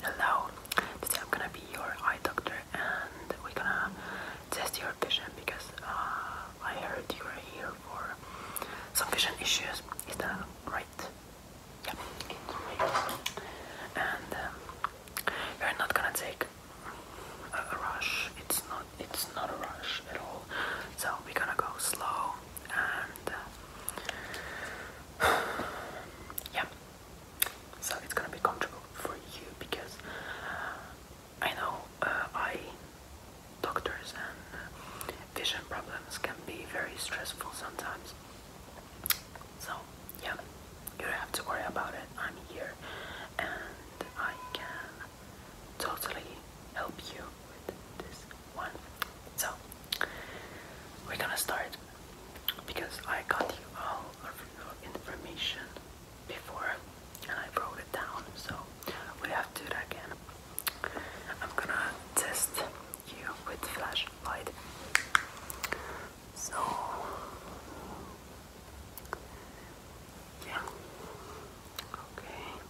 Hello, today I'm gonna be your eye doctor and we're gonna test your vision because uh, I heard you are here for some vision issues. Is that right? Yeah, And um, are not gonna take a, rush. It's not. It's not a rush at all. So we're gonna go slow uh, yeah. So it's gonna be comfortable for you because I know uh, doctors and vision problems can be very stressful sometimes. So yeah, you don't have to worry about it. I'm here and I can totally help you with this one. So we're gonna start because I got you all of your information before and I wrote it down. So we have to do that again. I'm gonna test you with flashlight. So yeah. Okay.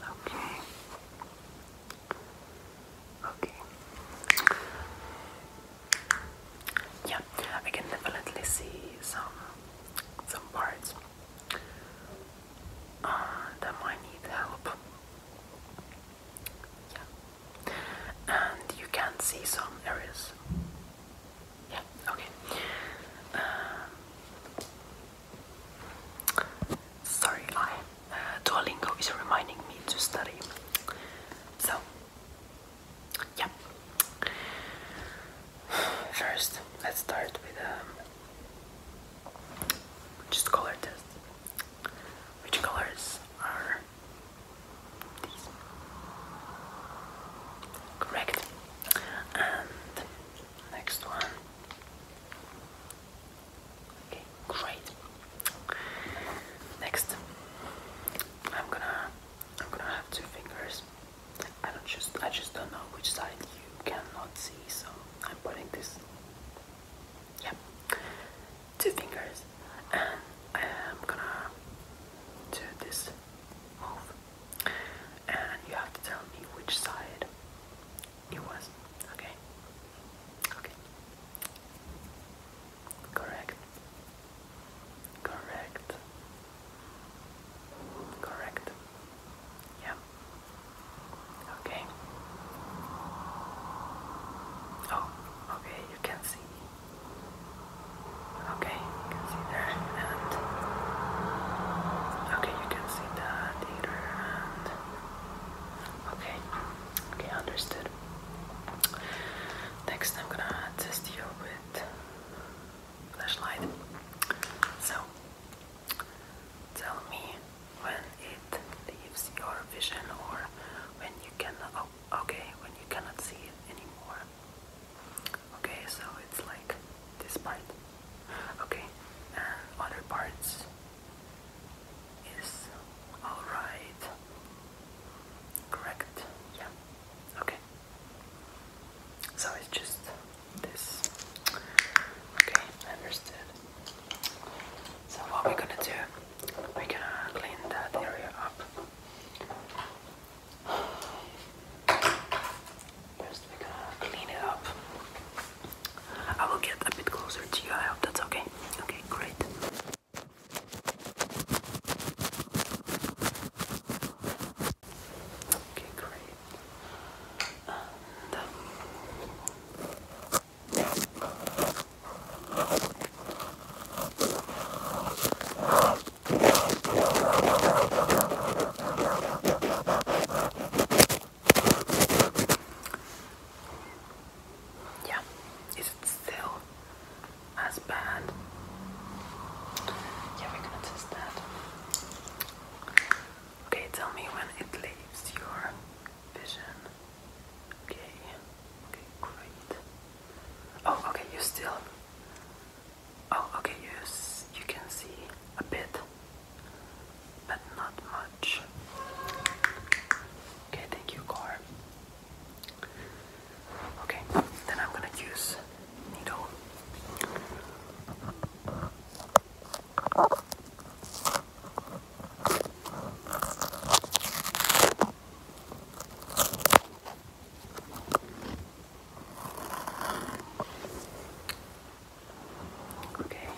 Okay. Okay. Yeah, I can definitely see some some parts uh, that might need help. Yeah. And you can see some areas. Yeah, okay. Um, Sorry, uh, Duolingo is reminding me to study. So, yeah. First, let's start with um, just color test. Which colors are these? Correct. And next one. Okay, great. Next, I'm gonna, I'm gonna have two fingers. I don't just, I just don't know which side you cannot see, so I'm putting this. Yep, two fingers, and I'm gonna do this move, and you have to tell me which side it was. Okay. Okay. Correct. Correct. Correct. Yeah. Okay. Oh, okay, you can see. Okay, can see that. okay, you can see that okay okay understood next I'm gonna test you with flashlight so tell me when it leaves your vision or when you can oh, okay when you cannot see it anymore okay so it's like this part Okay, other parts is alright. Correct, yeah. Okay. So it's just this. Okay, understood. So what we're gonna do, we're gonna clean that area up. First we're gonna clean it up. I will get a bit closer to you, I hope that's okay. Okay, great. Okay, great. And, um, yeah, is it still as bad? Yeah, we're test that. Okay, tell me when it leaves your vision. Okay, okay, great. Oh, okay, you still Oh, okay, yes, you can see a bit, but not much. Okay, thank you, car. Okay, then I'm gonna use needle. Okay.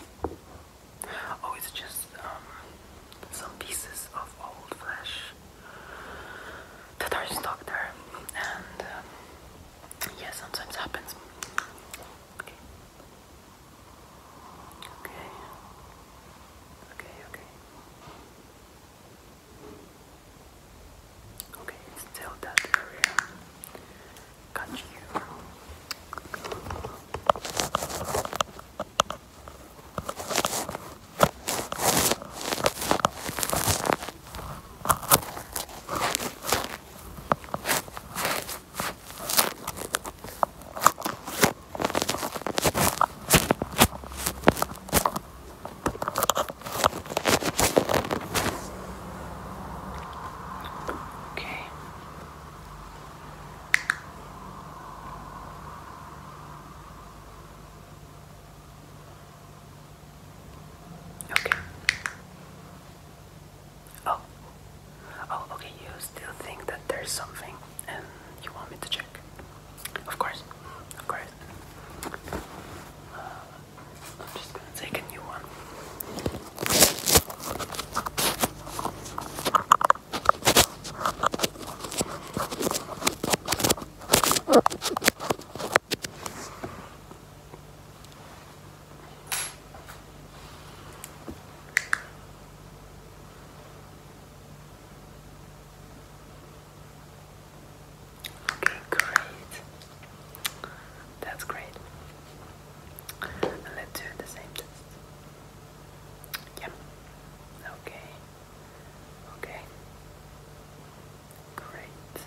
Oh, it's just um, some pieces of old flesh that are stuck there, and uh, yeah, sometimes happens. Okay. Okay. Okay. Okay. Okay, it's still that area. Got Okay. Okay. Oh. Oh, okay, you still think that there's something and you want me to check? Of course. Of course. Uh, I'm just gonna take a new one. Okay, great. That's great. let's do the same test. Yep. Okay. Okay. Great.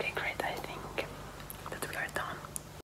Okay, great. I think that we are done.